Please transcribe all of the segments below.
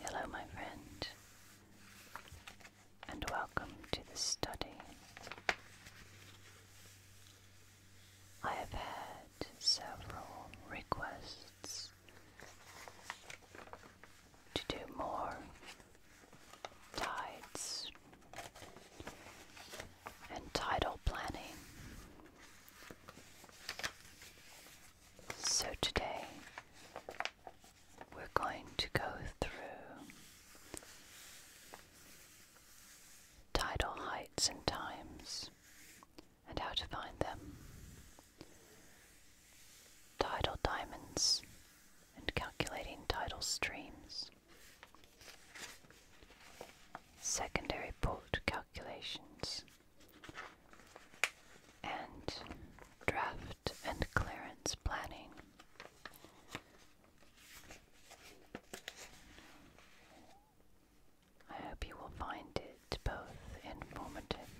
Hello, my friend, and welcome to the study. I have had several requests to do more tides and tidal planning. So today we're going to go through tidal heights and times and how to find them, tidal diamonds and calculating tidal streams, secondary port calculations and draft and clearance planning. I hope you will find it both informative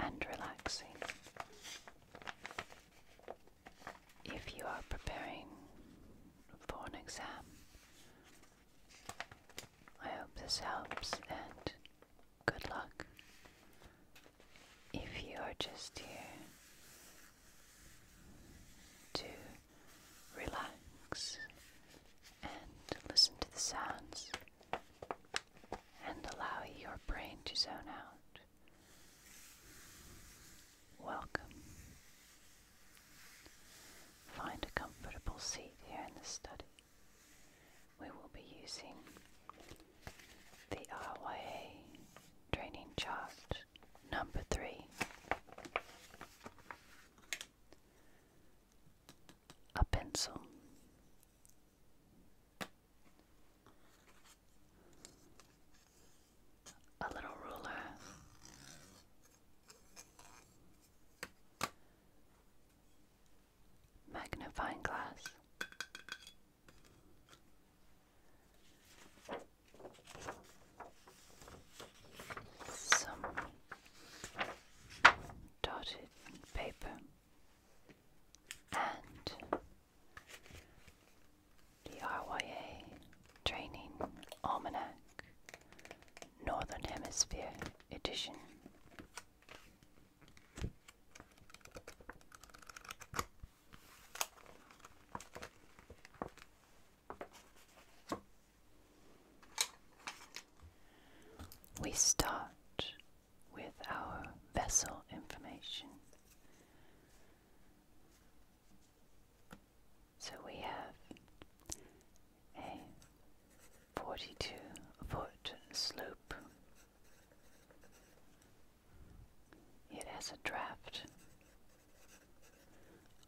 and relaxing. If you are preparing for an exam, I hope this helps and good luck. If you are just here to relax and listen to the sounds and allow your brain to zone out, welcome. Find a comfortable seat here in the study. We will be using the RYA training chart number three. A pencil. A little ruler magnifying glass. Some dotted paper and the RYA Training Almanac Northern Hemisphere Edition. We start with our vessel information. So we have a 42 foot sloop. It has a draft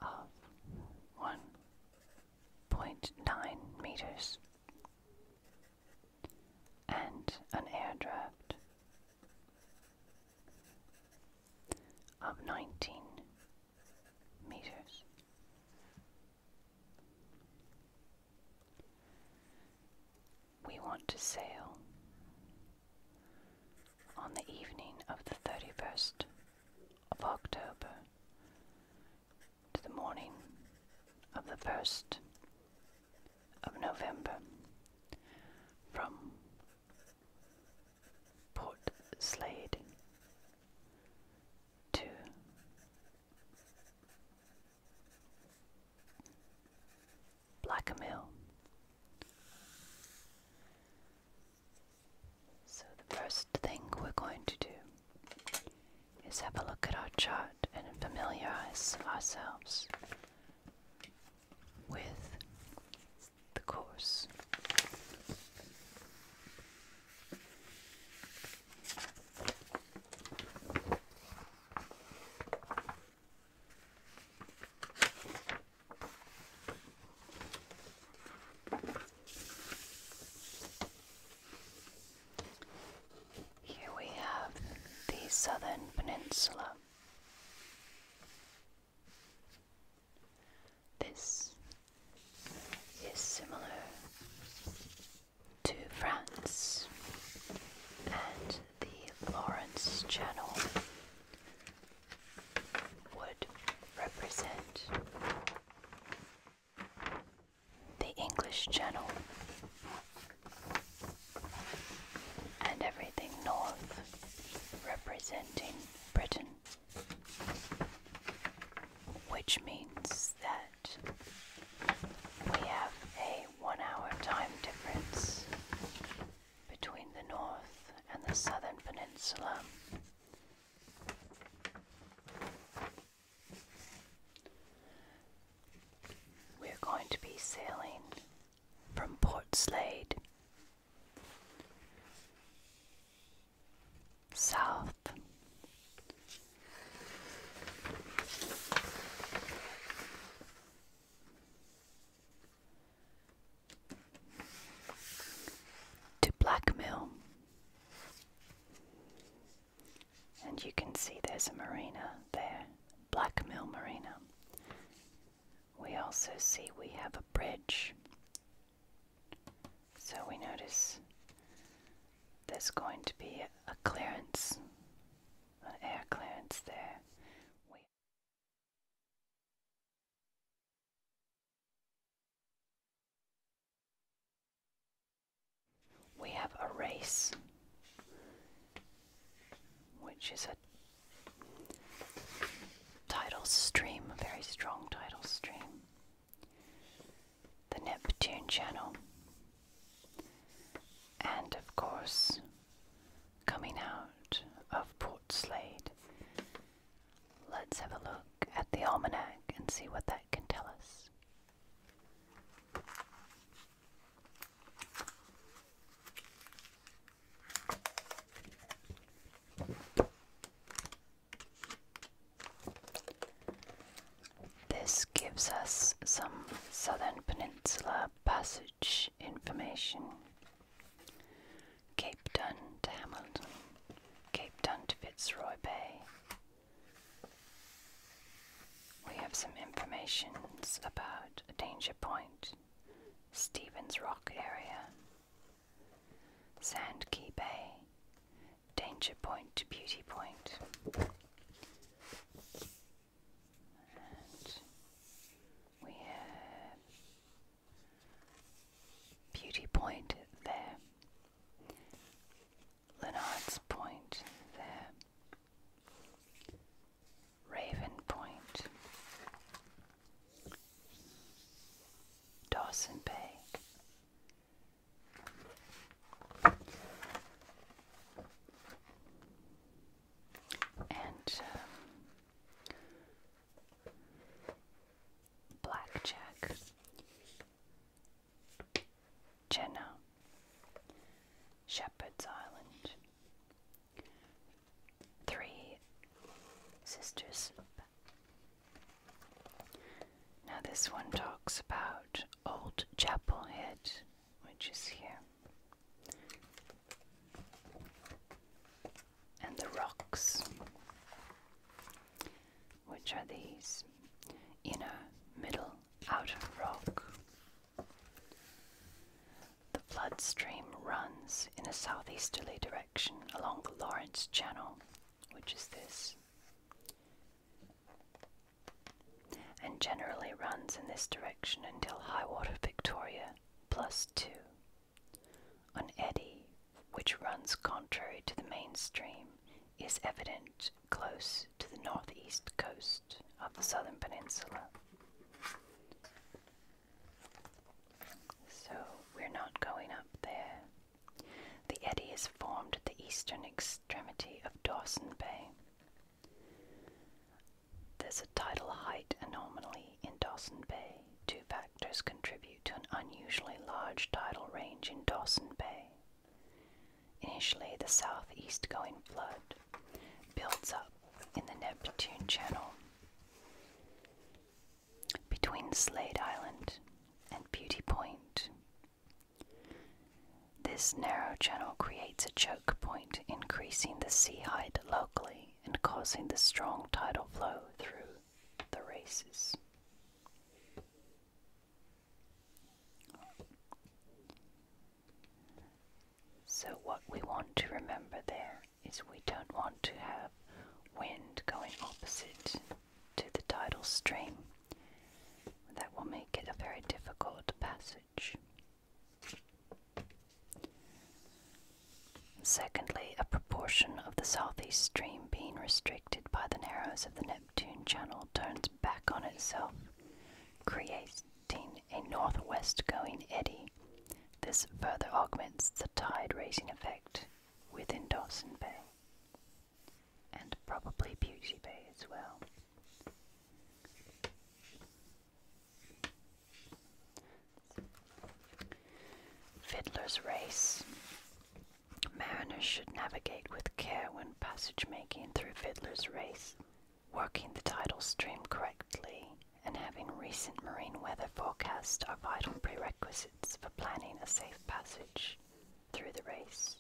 of 1.9 meters and an air draft of 19 meters. We want to sail on the evening of the 31st of October to the morning of the 1st of November from Port Slade two, Blackamill. So the first thing we're going to do is have a look at our chart and familiarize ourselves with the course. Here we have the Southern Peninsula. This is similar to France and the Lawrence Channel would represent the English Channel and everything north representing Britain which means that we have a one hour time difference between the north and the southern peninsula. We're going to be sailing from Port Slade south. To Blackmill, and you can see there's a marina there, Blackmill Marina. We also see we have a bridge so we notice there's going to be a clearance, an air clearance there. We we have a race, which is a tidal stream, a very strong tidal stream the Neptune channel, and of course, coming out of Port Slade. Let's have a look at the almanac and see what that can tell us. This gives us some Southern Peninsula Passage information. Cape Town to Hamilton, Cape Town to Fitzroy Bay. We have some information about Danger Point, Stevens Rock area, Sand Key Bay, danger point beauty point. we have beauty point there, Lennard's point there, Raven point, Dawson Bay, and um, blackjack, Jenna, Shepherd's Island, Three Sisters, now, this one talks about Old Chapel Head, which is here, and the rocks, which are these inner, middle, outer rock. The flood stream runs in a southeasterly direction along the Lawrence Channel, which is this and generally runs in this direction until high water Victoria plus 2, an eddy which runs contrary to the main stream is evident close to the northeast coast of the southern peninsula. So we're not going up there. The eddy is formed at the eastern ex extremity of Dawson Bay. There's a tidal height anomaly in Dawson Bay. Two factors contribute to an unusually large tidal range in Dawson Bay. Initially, the southeast going flood builds up in the Neptune Channel between Slade Island and Beauty Point this narrow channel creates a choke point, increasing the sea height locally and causing the strong tidal flow through the races. So, what we want to remember there is we don't want to have wind going opposite to the tidal stream. That will make it a very difficult passage. Secondly, a proportion of the southeast stream being restricted by the narrows of the Neptune Channel turns back on itself, creating a northwest going eddy. This further augments the tide raising effect within Dawson Bay and probably Beauty Bay as well. Fiddler's Race. Mariners should navigate with care when passage making through Fiddler's Race, working the tidal stream correctly and having recent marine weather forecasts are vital prerequisites for planning a safe passage through the race.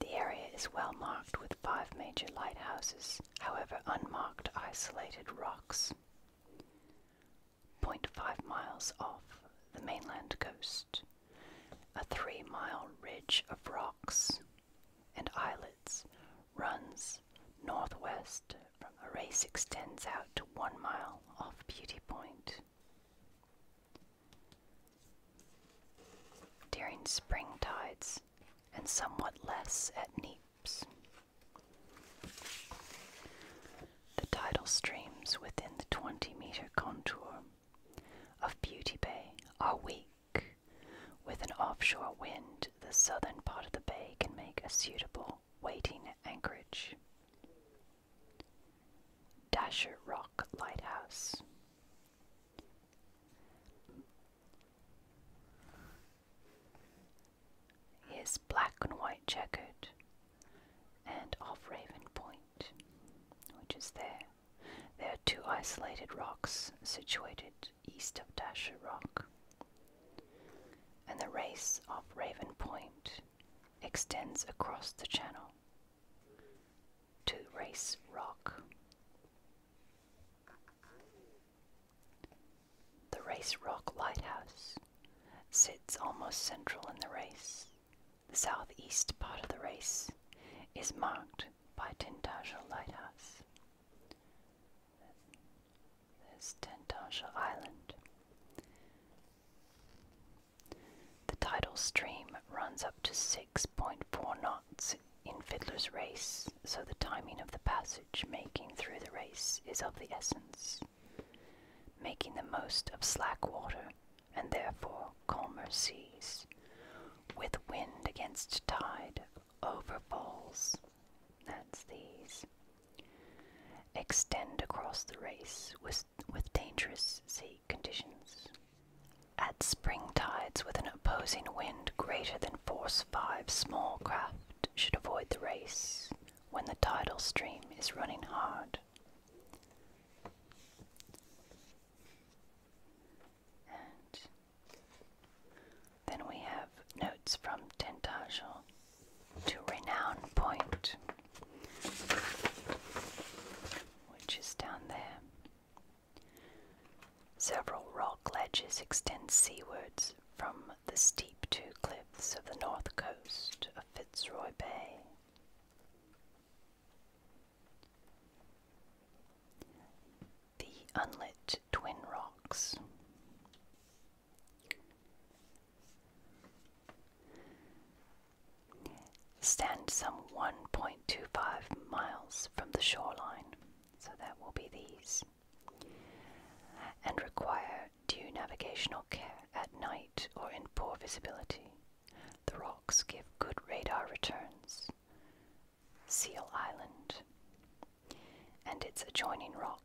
The area is well marked with five major lighthouses, however, unmarked isolated rocks. 0.5 miles off the mainland coast, a three mile ridge of rocks and islets runs northwest left the race extends out to one mile off Beauty Point. During spring tides, and somewhat less at Neaps. The tidal streams within the 20 meter contour of Beauty Bay are weak. With an offshore wind, the southern part of the bay can make a suitable waiting anchorage. Dasher Rock Lighthouse. is black and white checkered and off Raven Point, which is there. There are two isolated rocks situated east of Dasher Rock. And the race off Raven Point extends across the channel to Race Rock. The Race Rock Lighthouse sits almost central in the race. The southeast part of the race is marked by Tintagel Lighthouse. This Tintagel Island. The tidal stream runs up to 6.4 knots in Fiddler's Race, so the timing of the passage making through the race is of the essence, making the most of slack water and therefore calmer seas, with wind against tide over falls. That's these. Extend across the race with, dangerous sea conditions. At spring tides with an opposing wind greater than force 5, small craft should avoid the race when the tidal stream is running hard. then we have notes from Tentagel to Renown Point, which is down there. Several rock ledges extend seawards from the steep two cliffs of the north coast of Fitzroy Bay. The unlit Twin Rocks. Stand some 1.25 miles from the shoreline, so that will be these, and require due navigational care at night or in poor visibility. The rocks give good radar returns. Seal Island and its adjoining rock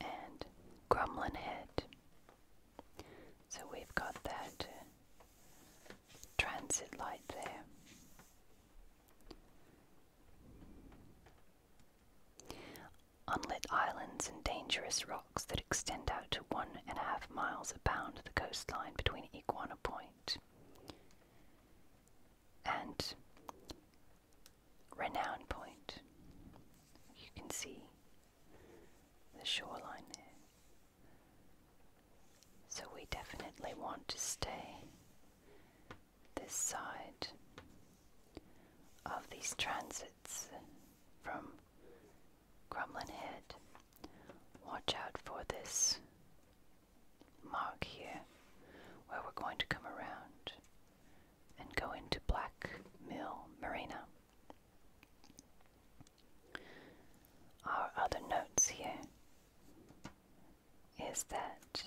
and Gremlin Head. So we've got that uh, transit light there. Unlit islands and dangerous rocks that extend out to one and a half miles abound the coastline between Iguana Point and Renown Point. You can see the shoreline there. So we definitely want to stay this side of these transits from Crumlin Head. Watch out for this mark here where we're going to come around and go into Black Mill Marina. Our other notes here is that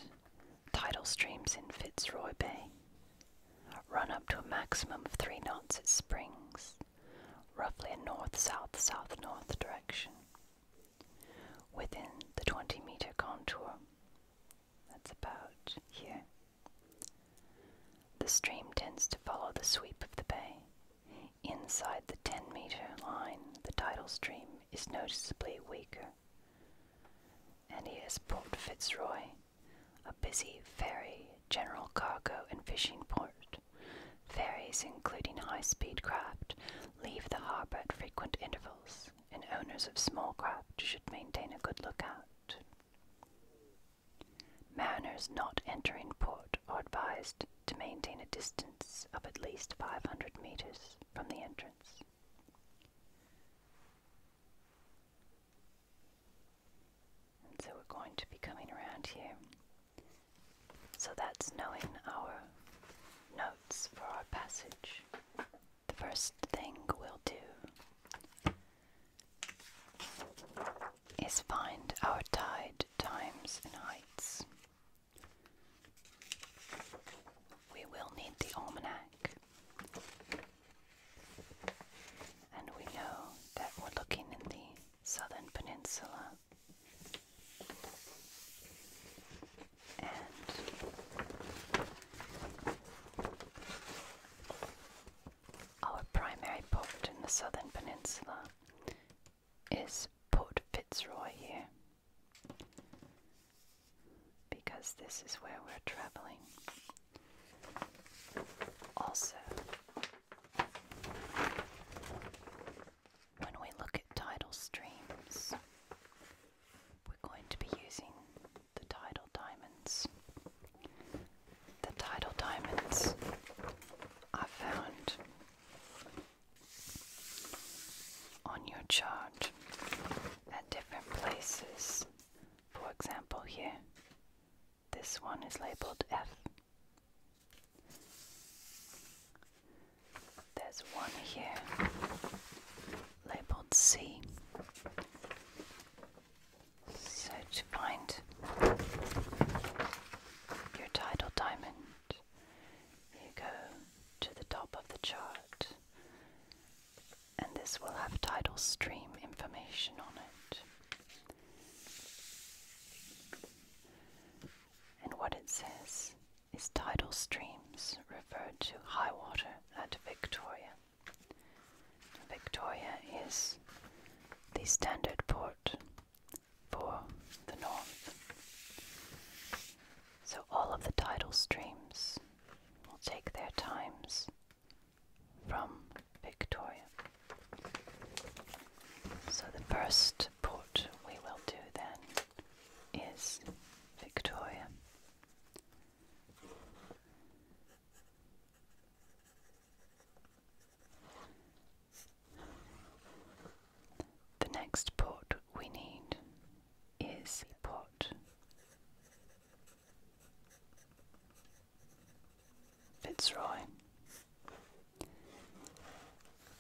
tidal streams in Fitzroy Bay run up to a maximum of three knots at springs, roughly a north south south north direction, within the 20 meter contour. That's about here. The stream tends to follow the sweep of the bay. Inside the 10 meter line, the tidal stream is noticeably weaker. And here's Port Fitzroy, a busy ferry, general cargo, and fishing port. Ferries, including high speed craft, leave the harbour at frequent intervals, and owners of small craft should maintain a good lookout. Mariners not entering port are advised to maintain a distance of at least 500 meters from the entrance. so we're going to be coming around here. So that's knowing our notes for our passage. The first thing we'll do is find our tide times and heights. We will need the almanac. And we know that we're looking in the southern peninsula. Our primary port in the southern peninsula is Port Fitzroy here, because this is where we're traveling. Also, when we look at tidal streams, we're going to be using the tidal diamonds. The tidal diamonds are found on your chart at different places. For example, here, this one is labeled F. There's one here labeled C. So to find your tidal diamond, you go to the top of the chart, and this will have tidal stream information on it. And what it says is tidal streams refer to high water at Victoria. Victoria is the standard port for the north. So all of the tidal streams will take their times from Victoria. So the first port we will do then is Victoria. The next port we need is Port Fitzroy.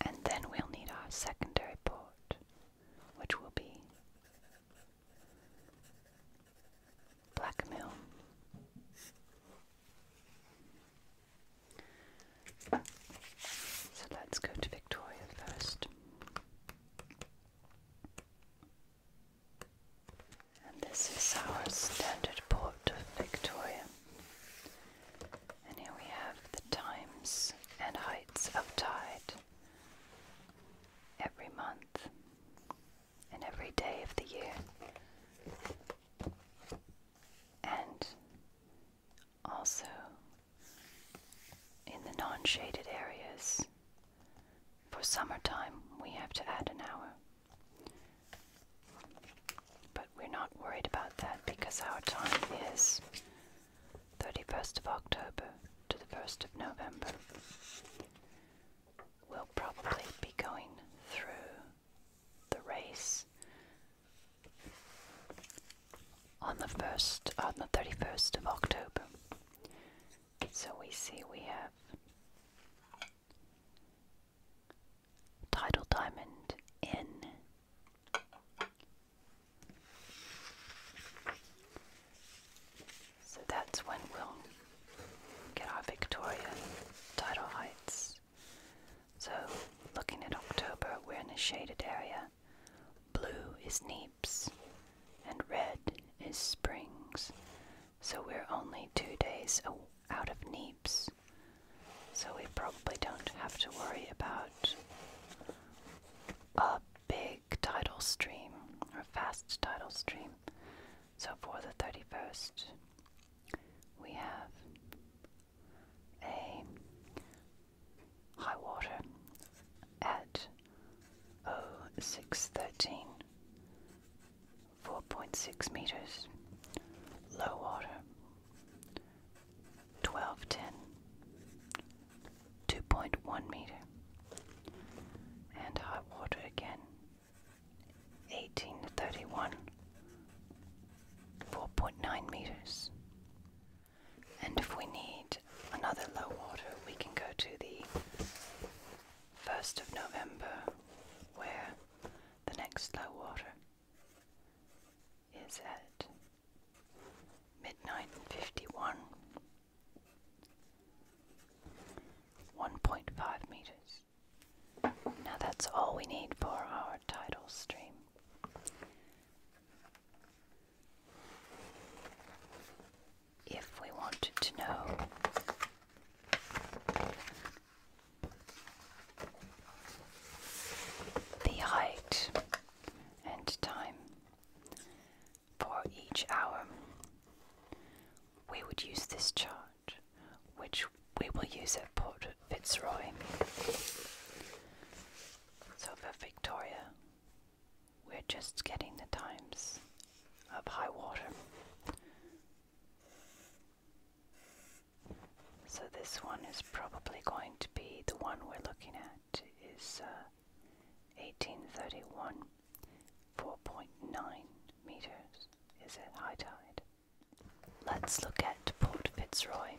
And then we'll need our secondary port, which will be blackmail. So let's go to Victoria first. And this is our standard port of Victoria. And here we have the times and heights of tide every month. In every day of the year. And also in the non shaded areas, for summertime we have to add an hour. But we're not worried about that because our time is 31st of October to the 1st of November. We'll probably be going through the race on the first on the 31st of October. So we see we have Tidal Diamond in so that's when we'll get our Victoria tidal heights. So, looking at October, we're in a shaded area. Blue is Neaps, and red is Springs. So we're only two days out of Neaps. So we probably don't have to worry about a big tidal stream or fast tidal stream. So for the 31st, we have a high water at 0613, 4.6 meters, low water 1210, 2.1 meter, and high water again 1831, 4.9 meters. And if we need another low water, we can go to the 1st of November, where the next low water is at midnight 51, 1.5 meters. Now that's all we need for our title stream. If we wanted to know the height and time for each hour, we would use this chart which we will use at Port Fitzroy. So for Victoria, we're just getting the times of high water. So this one is probably going to be the one we're looking at is 1831, uh, 4.9 meters is at high tide. Let's look at Port Fitzroy.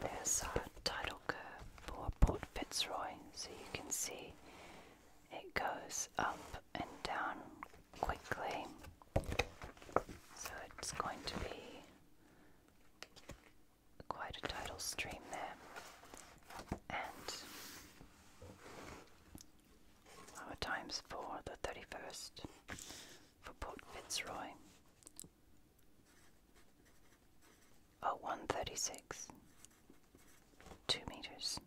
There's our tidal curve for Port Fitzroy, so you can see it goes up and down quickly. So it's going to be quite a tidal stream there. And our times for the 31st for Port Fitzroy are 136, 2 meters,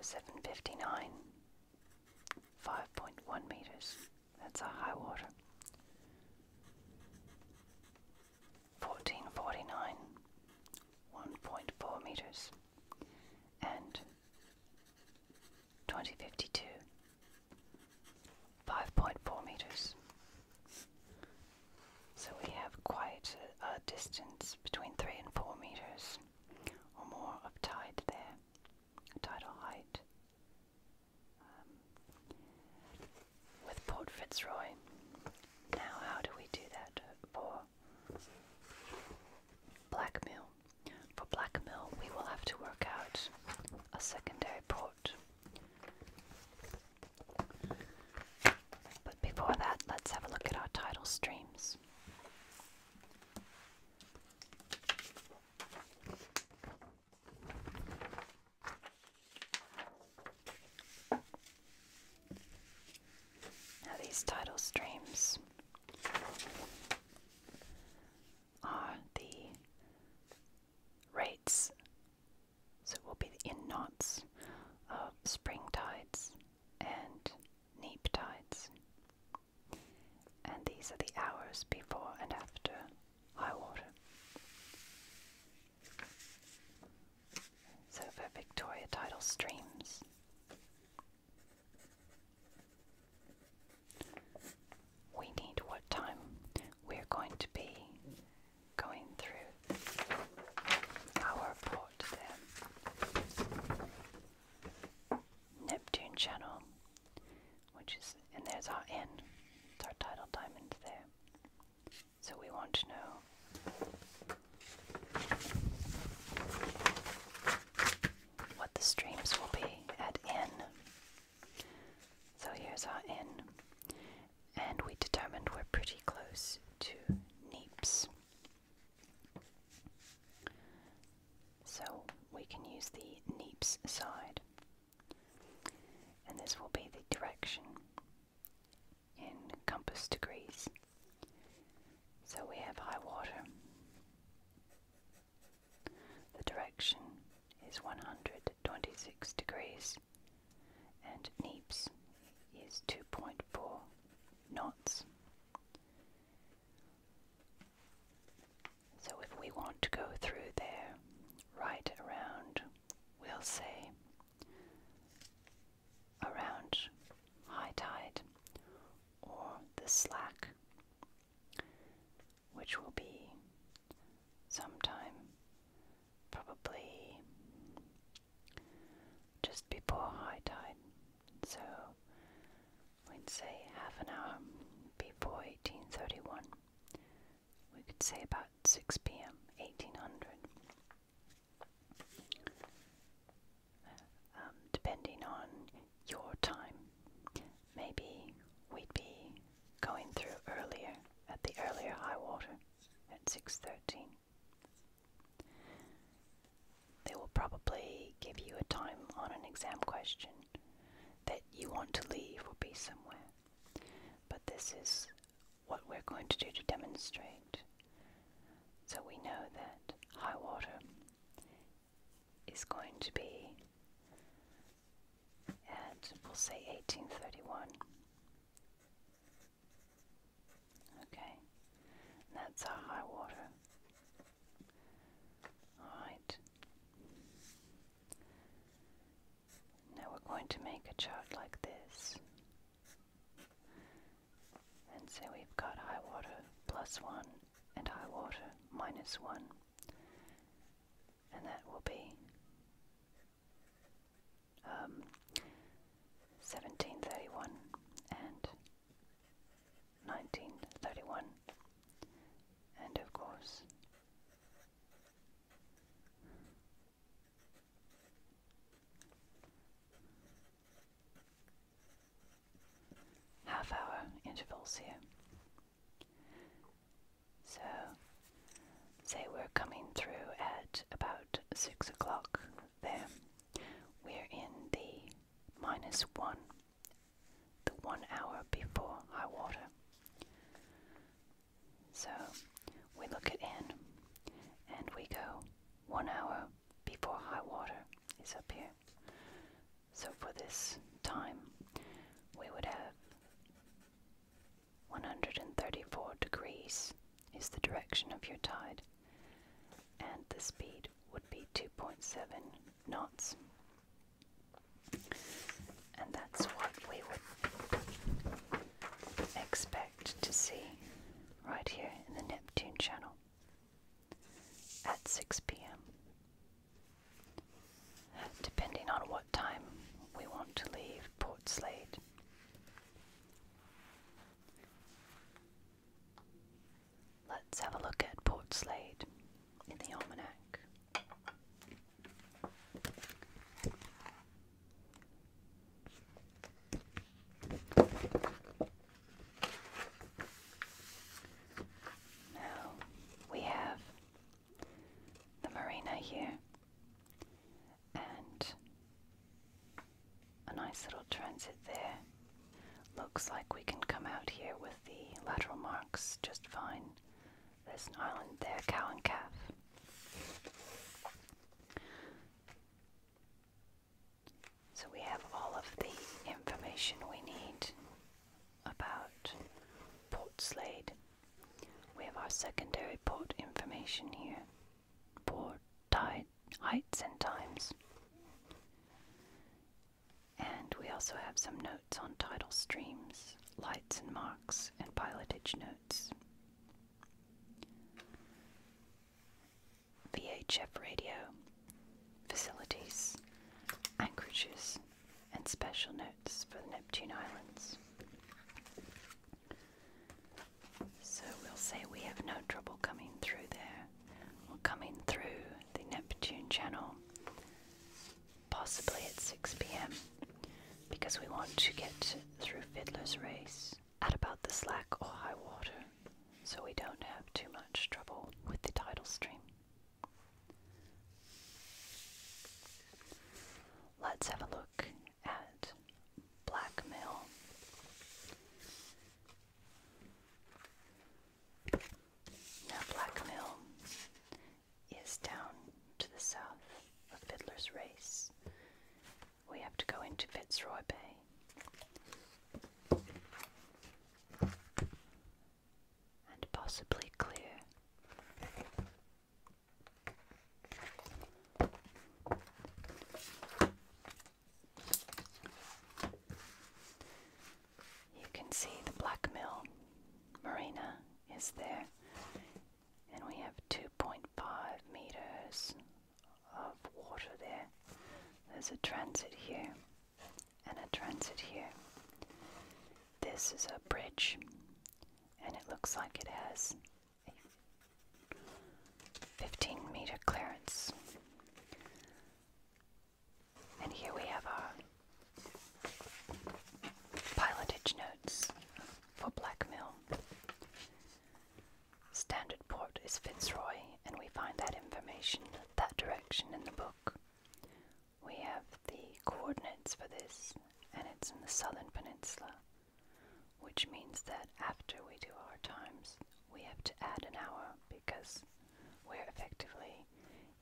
0759, 5.1 meters. That's a high water. 1449, 1.4 meters. And 2052, 5.4 meters. So we have quite a, a distance between 3 and 4 meters or more of tide there tidal height. Um, with Port Fitzroy. Now, how do we do that for Blackmill? For Blackmill, we will have to work out a secondary port. But before that, let's have a look at our tidal streams. Now, these tidal streams are the rates, so it will be the in knots of spring tides and neap tides and these are the hours before and after high water. So for Victoria tidal streams. We need what time we're going to be going through our port there. Neptune Channel which is, and there's our N. It's our title diamond there. So we want to know what the streams will be at N. So here's our N. And we determined we're pretty close to Neeps. So we can use the Neeps side. And this will be the direction in compass degrees. So we have high water. The direction is 126 degrees and Neeps is 2.4 knots. So if we want to go through there, right around, we'll say around high tide or the slack, which will be sometime probably just before high tide. So we'd say half an hour before 1831. We could say about 6 p.m., 1800. Um, depending on your time, maybe we'd be going through earlier at the earlier high water at 6.13. They will probably give you a time on an exam question that you want to leave or be somewhere. But this is what we're going to do to demonstrate. So we know that high water is going to be at, we'll say, 1831. Okay, that's our high water. Alright. Now we're going to make a chart like this. And so we've got high water plus one and high water minus one. And that will be 1731 um, and 1931. And of course, half hour intervals here. So, say we're coming through at about 6 o'clock there. We're in the minus 1 the one hour before high water. So we look at in and we go one hour before high water is up here. So for this time, we would have 134 degrees is the direction of your tide, and the speed would be 2.7 knots. And that's what we would expect to see right here in the Neptune channel at 6 pm. Depending on what time we want to leave Port Slade. Let's have a look at Port Slade in the almanac. Now we have the marina here and a nice little transit there. Looks like we can come out here with the lateral marks just fine. There's an island there, cow and calf. So we have all of the information we need about Port Slade. We have our secondary port information here. Port tide heights and times. And we also have some notes on tidal streams, lights and marks, and pilotage notes. VHF radio, facilities, anchorages, and special notes for the Neptune Islands. So we'll say we have no trouble coming through there or coming through the Neptune Channel possibly at 6 pm, because we want to get through Fiddler's Race at about the slack or high water, so we don't have too much trouble with the tidal stream. Let's have a look at Black now Black is down to the south of Fiddler's Race. We have to go into Fitzroy Bay and possibly clear. You can see the black mill marina is there, and we have 2.5 meters of water there. There's a transit here and a transit here. This is a bridge, and it looks like it has a 15 meter clearance. And here we have our pilotage notes for Blackmill. Standard port is Fitzroy, and we find that information, that direction in the book. We have the coordinates for this, and it's in the southern peninsula, which means that after we do our times, we have to add an hour because we're effectively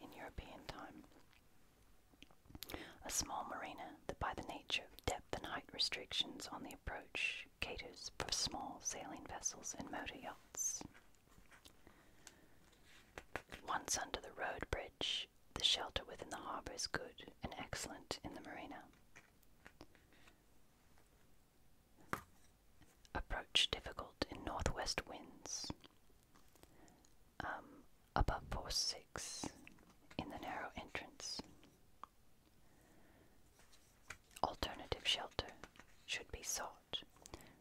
in European time. A small marina that, by the nature of depth and height restrictions on the approach, caters for small sailing vessels and motor yachts. Once under the road bridge, the shelter within the harbour is good and excellent in the marina. Approach difficult in northwest winds, um, above four six in the narrow entrance. Alternative shelter should be sought.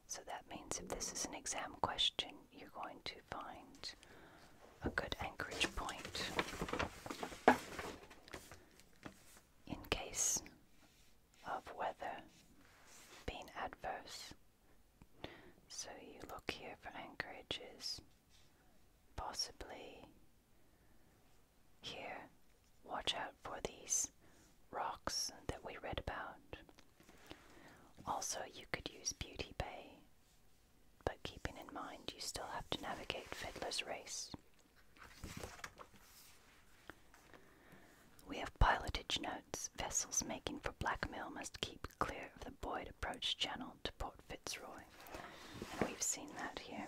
So that means if this is an exam question, you're going to find a good anchorage point in case of weather being adverse. So you look here for anchorages, possibly here. Watch out for these rocks that we read about. Also, you could use Beauty Bay, but keeping in mind you still have to navigate Fiddler's Race. We have pilotage notes vessels making for blackmail must keep clear of the Boyd Approach Channel to Port Fitzroy. And we've seen that here.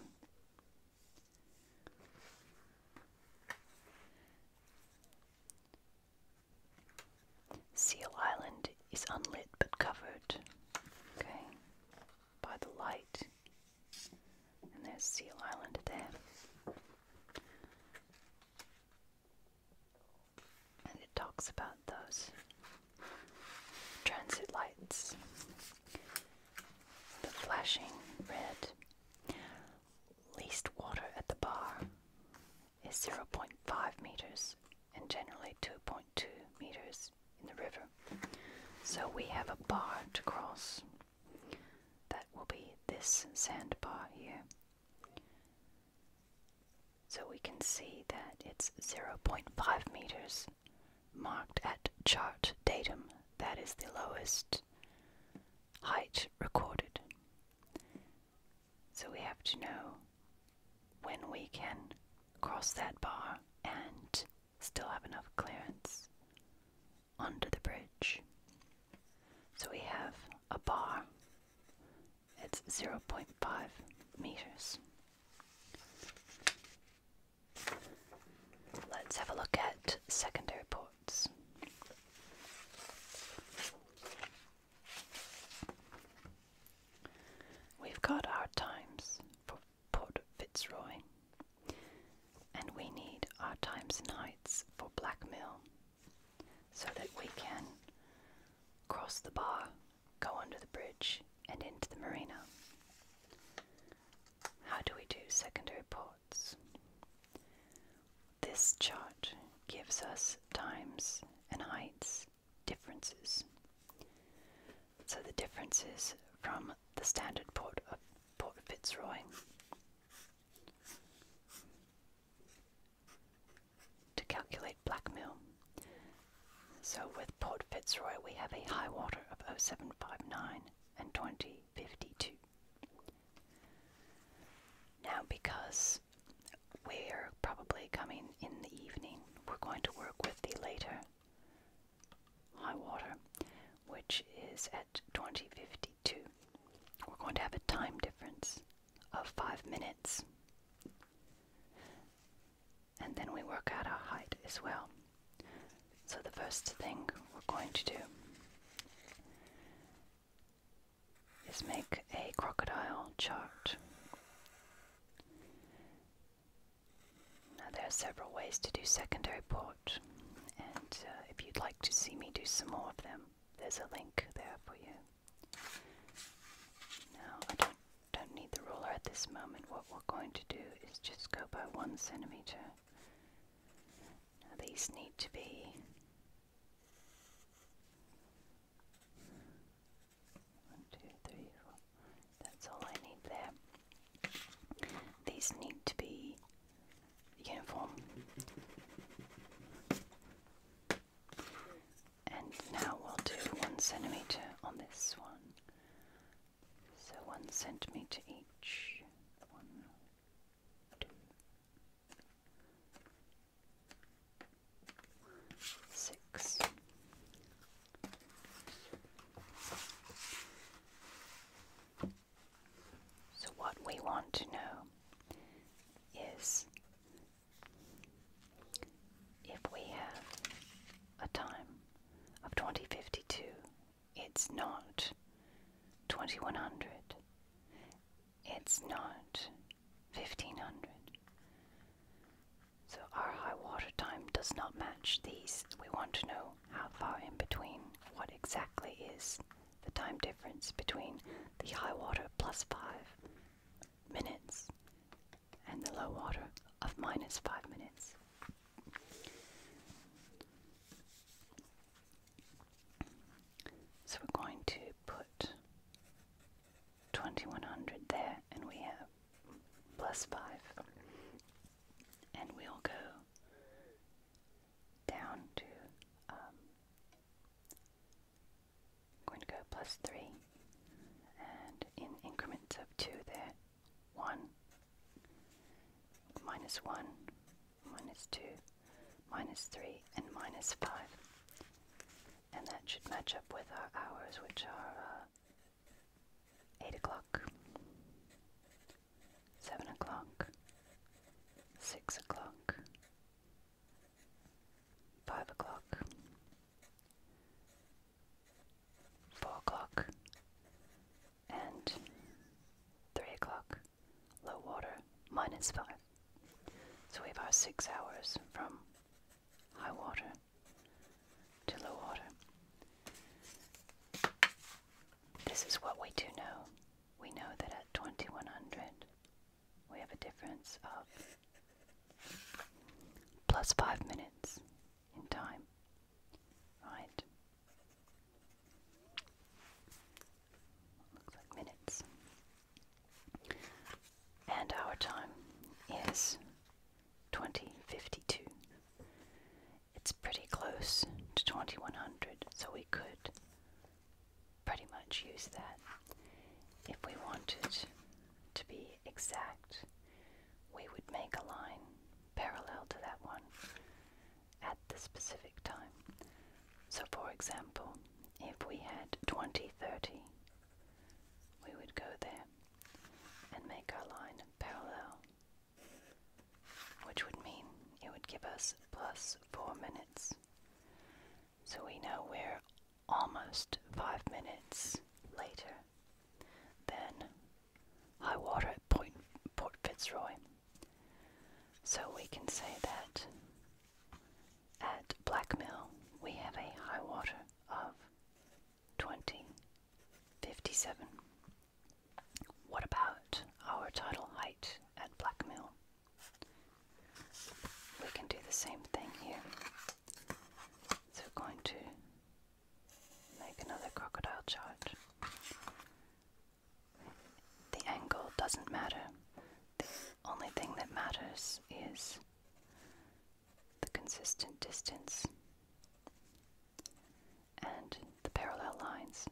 Seal Island is unlit but covered okay, by the light. And there's Seal Island there and it talks about those transit lights, the flashing red. Least water at the bar is 0.5 meters and generally 2.2 meters in the river. So we have a bar to cross. That will be this sand bar here. So we can see that it's 0.5 meters marked at chart datum. That is the lowest height recorded. So we have to know when we can cross that bar and still have enough clearance under the bridge. So we have a bar it's 0.5 meters. Let's have a look at secondary ports. We've got our times for Port Fitzroy, and we need our times and heights for Blackmill so that we can cross the bar, go under the bridge, and into the marina. How do we do secondary ports? This chart gives us times and heights differences. So the differences from the standard port of Port Fitzroy to calculate blackmail. So with Port Fitzroy, we have a high water of 0759 and 2052. Now, because we're probably coming in the evening, we're going to work with the later high water, which is at 2052. We're going to have a time difference of five minutes. And then we work out our height as well. So the first thing we're going to do is make a crocodile chart. Now there are several ways to do secondary port, and uh, if you'd like to see me do some more of them, there's a link there for you. Now, I don't, don't need the ruler at this moment. What we're going to do is just go by one centimeter. Now, these need to be one, two, three, four. That's all I need there. These need to be uniform. And now we'll do one centimeter on this one. So one centimeter each. One, two. So, what we want to know is if we have a time of 2052, it's not 2100, it's not 1500. So our high water time does not match these. We want to know how far in between, what exactly is the time difference between the high water plus 5 minutes and the low water of minus 5 minutes. So we're going to put 2100 there and we have plus 5 and we'll go down to um, i 3 and in increments of 2 there 1 minus 1 minus 2 minus 3 and minus 5 and that should match up with our hours which are uh, 8 o'clock 7 o'clock 6 o'clock Five o'clock. Four o'clock. And three o'clock. Low water, minus five. So we have our six hours from high water to low water. This is what we do know. We know that at 2100 we have a difference of plus five minutes in time. Right? Looks like minutes. And our time is 2052. It's pretty close to 2100, so we could pretty much use that if we wanted to be exact, we would make a line parallel to that one at the specific time. So, for example, if we had 2030, we would go there and make our line parallel, which would mean it would give us plus 4 minutes. So we know we're almost five minutes later than high water at Point, Port Fitzroy. So we can say that at Blackmill we have a high water of 2057. What about our tidal height at Blackmill? We can do the same thing here. So we're going to make another crocodile charge. The angle doesn't matter. The only thing that matters is the consistent distance and the parallel lines.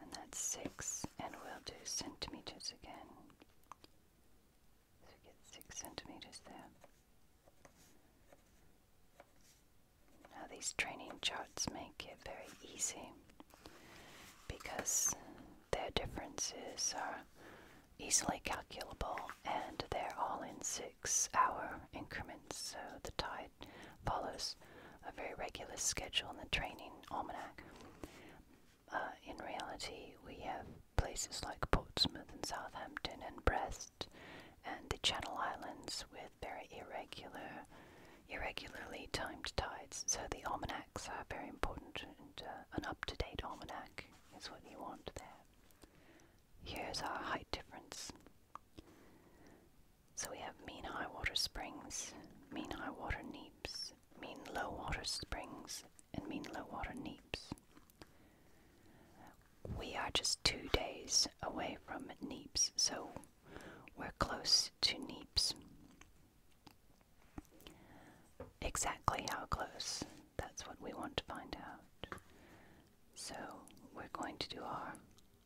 And that's six, and we'll do centimeters again. So we get six centimeters there. Now these training charts make it very easy because their differences are easily calculable and they're all in six hour increments so the tide follows a very regular schedule in the training almanac. Uh, in reality, we have places like Portsmouth and Southampton and Brest and the Channel Islands with very irregular, irregularly timed tides. So the almanacs are very important, and uh, an up-to-date almanac is what you want there. Here's our height difference. So we have mean high water springs, mean high water neaps, mean low water springs and mean low water neeps. We are just two days away from neeps, so we're close to neeps. Exactly how close, that's what we want to find out. So we're going to do our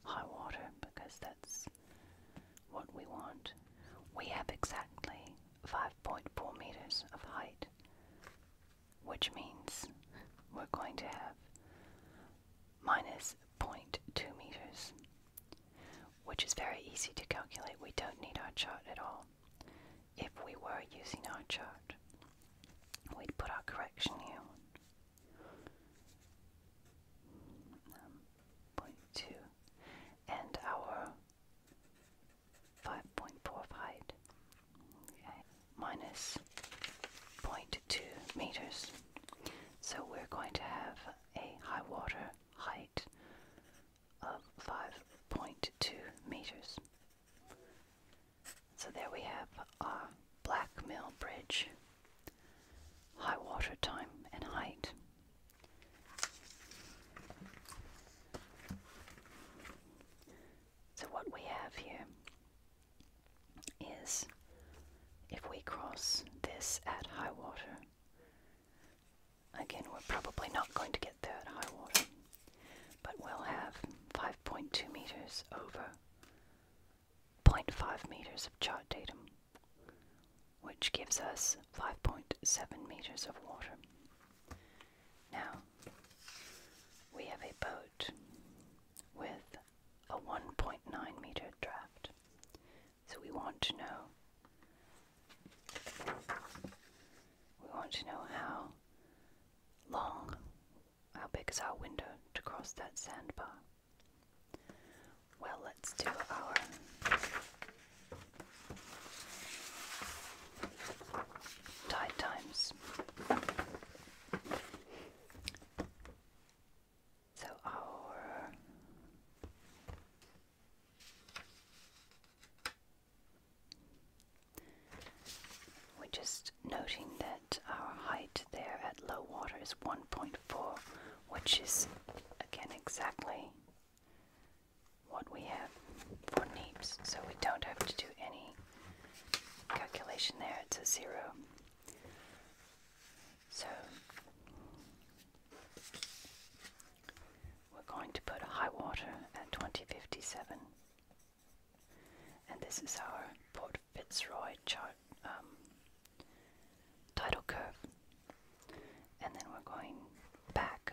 high water because that's what we want. We have exactly 5.4 meters of height, which means we're going to have minus 0.2 meters, which is very easy to calculate. We don't need our chart at all. If we were using our chart, we'd put our correction here. Um, and our 5.4 height. meters. So we're going to have a high water height of 5.2 meters. So there we have our Black Mill Bridge, high water time and height. So, what we have here is if we cross this at high water, again, we're probably not going to get there at high water, but we'll have 5.2 meters over 0.5 meters of chart datum, which gives us 5.7 meters of water. Now, we have a boat with a 1.9 meter draft. So we want to know we want to know how long how big is our window to cross that sandbar. Well, let's do our Tide times. So our we're just noting that our height there at low water is 1.4, which is again exactly what we have for NEEPS, so we don't have to do any calculation there, it's a zero. So we're going to put high water at 2057, and this is our Port Fitzroy chart um, tidal curve, and then we're going back.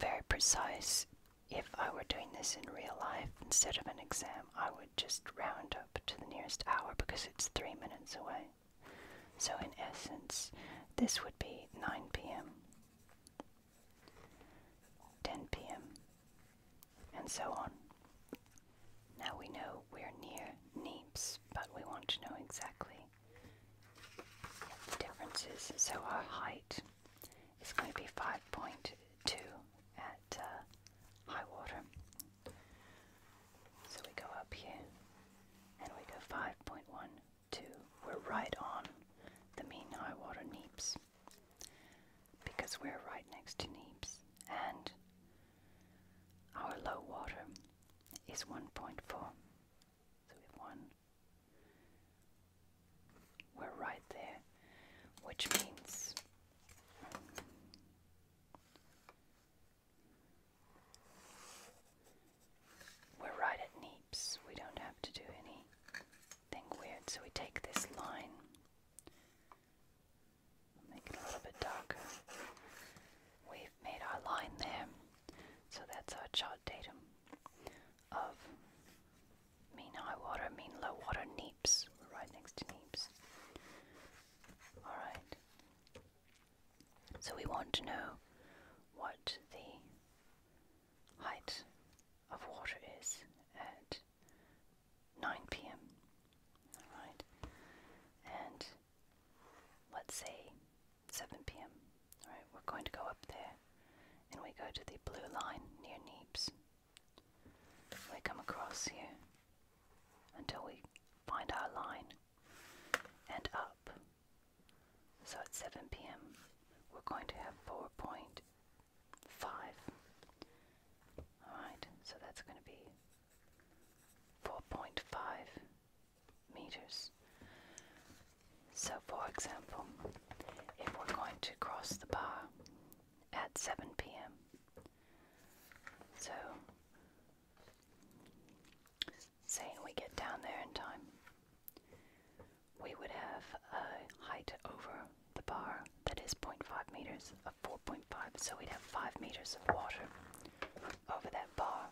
Very precise. If I were doing this in real life instead of an exam, I would just round up to the nearest hour because it's three minutes away. So, in essence, this would be 9 pm, 10 pm, and so on. Now we know we're near Neeps, but we want to know exactly the so our height is going to be 5.2 at uh, high water. So we go up here and we go 5.12. We're right on the mean high water neaps because we're right next to neaps and our low water is 1.4. So we have 1. We're right there, which means we're right at Neeps. We don't have to do anything weird. So we take this line, make a little bit darker. we made our line there. So that's our chart datum of mean high water, mean low water, neaps. We're right next to neaps. Alright. So we want to know what the height of water is at 9 p.m. Alright. And let's say 7 p.m. Alright, we're going to go up there and we go to the blue line near Neebs. We come across here until we find our line and up. So at 7 p.m., we're going to have 4.5. Alright, so that's going to be 4.5 meters. So, for example, if we're going to cross the bar at 7 p.m., so saying we get down there in time, we would have a height over the bar that is 0.5 meters of 4.5, so we'd have 5 meters of water over that bar.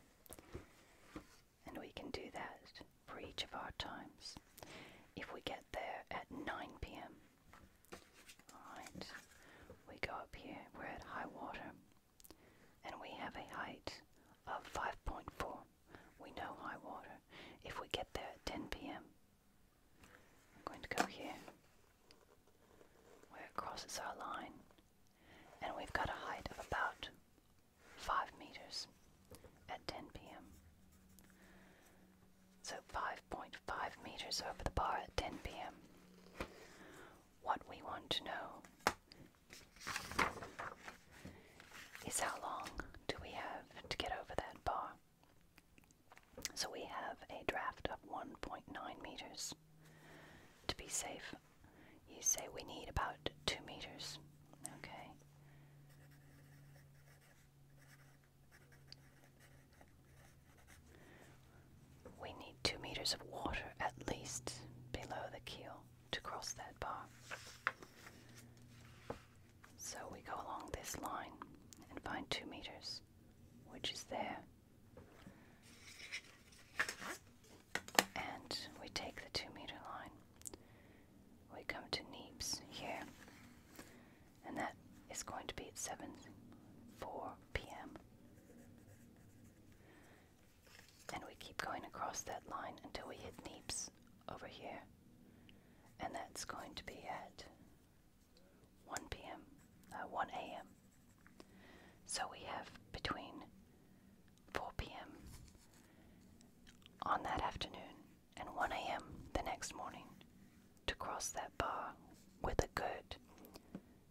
And we can do that for each of our times if we get there at 9 pm. Alright, we go up here, we're at high water, and we have a height of 5.4. We know high water. If we get there at 10 pm, I'm going to go here where it crosses our line and we've got a height of about 5 meters at 10 p.m. So 5.5 meters over the bar at 10 p.m. What we want to know is how long do we have to get over that bar? So we have a draft of 1.9 meters. To be safe, you say we need about two meters. Okay. We need two meters of water at least below the keel to cross that bar. So we go along this line and find two meters, which is there and we take the two meter line. We come to Neeps here, and that is going to be at 7 4 p.m. And we keep going across that line until we hit Neeps over here, and that's going to be at 1 p.m., at uh, 1 a.m. So we have between 4 p.m. on that afternoon and 1 a.m. the next morning to cross that bar with a good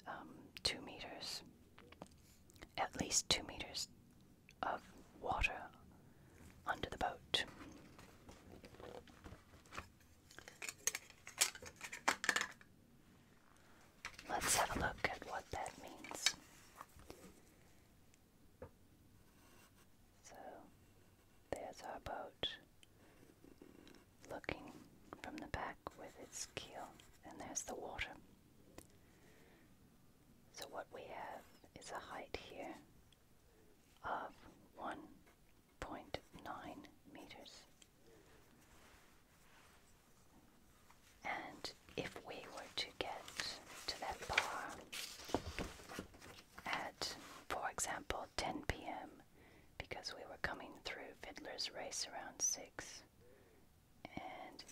um, two meters, at least two meters of water under the boat. Let's have a look at what that means. So there's our boat looking from the back with its keel, and there's the water. So what we have is a height here of 1.9 meters. And if we were to get to that bar at, for example, 10 p.m., because we were coming through Fiddler's Race around 6, and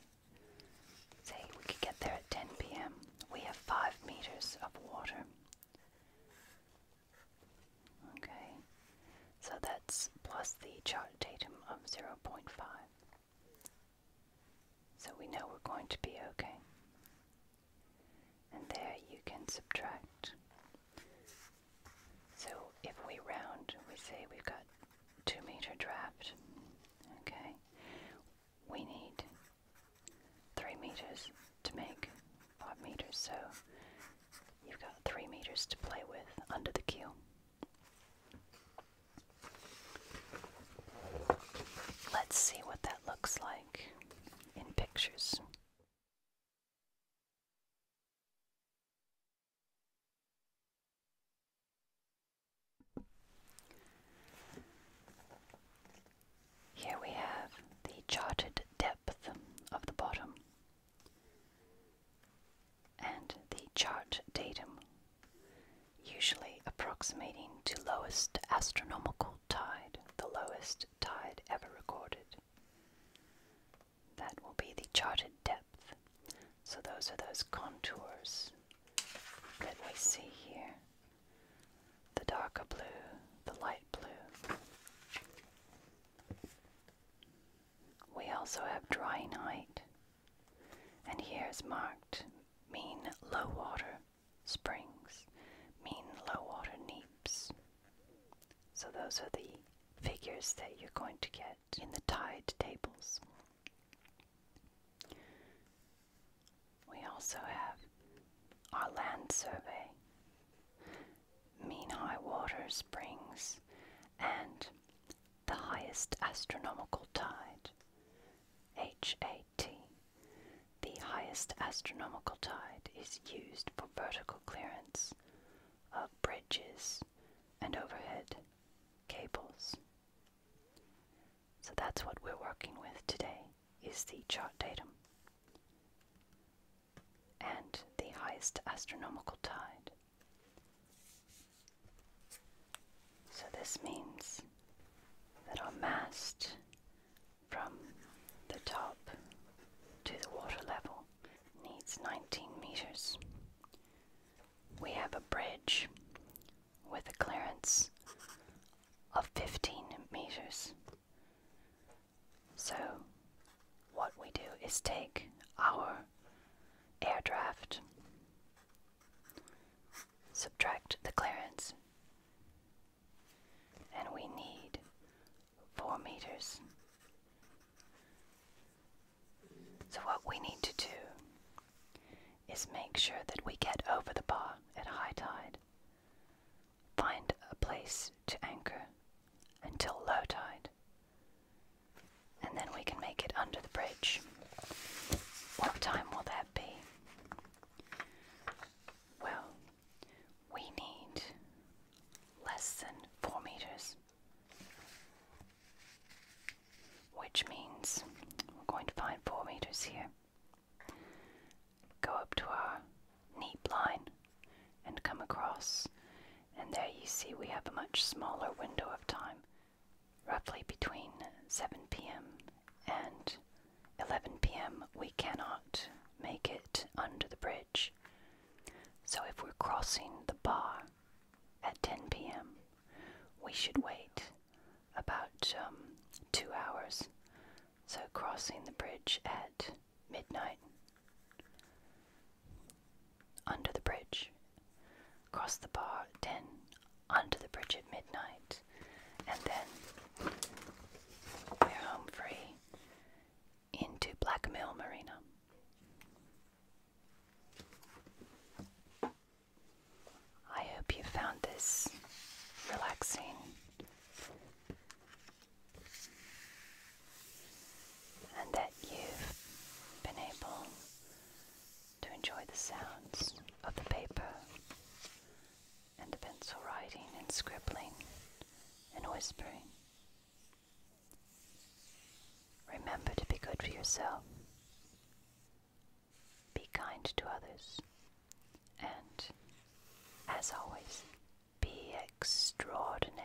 say we could get there at 10 p.m., we have 5 meters of water. Okay, so that's plus the chart datum of 0.5. So we know we're going to be okay. And there you can subtract. So if we round, we say we've got 2 meter draft. Okay. We need 3 meters to make 5 meters. So you've got 3 meters to play with under the keel. Let's see what that looks like in pictures. Here we have the charted depth of the bottom and the chart datum, usually approximating to lowest astronomical tide, the lowest tide ever recorded. That will be the charted depth. So those are those contours that we see here. The darker blue, the light blue. We also have dry night, and here is marked mean low water springs, mean low water neaps. So those are the figures that you're going to get in the tide tables. We also have our land survey, mean high water springs, and the highest astronomical tide. HAT. The highest astronomical tide is used for vertical clearance of bridges and overhead cables. So that's what we're working with today is the chart datum and the highest astronomical tide. So this means that our mast from the top to the water level needs 19 meters. We have a bridge with a clearance of 15 meters. So, what we do is take our air draft. Subtract the clearance. And we need four meters. So, what we need to do is make sure that we get over the bar at high tide, find a place to anchor until low tide, and then we can make it under the bridge. What time will that be? Well, we need less than four meters, which means we're going to find four meters here. Go up to our neat line and come across, and there you see we have a much smaller window of time roughly between 7 p.m. and 11 p.m., we cannot make it under the bridge. So if we're crossing the bar at 10 p.m., we should wait about um, two hours. So crossing the bridge at midnight under the bridge. Cross the bar 10, under the bridge at midnight, and then we're home free into Black Marina. I hope you found this relaxing. And that you've been able to enjoy the sounds of the paper and the pencil writing and scribbling and whispering. Remember to be good for yourself, be kind to others, and, as always, be extraordinary.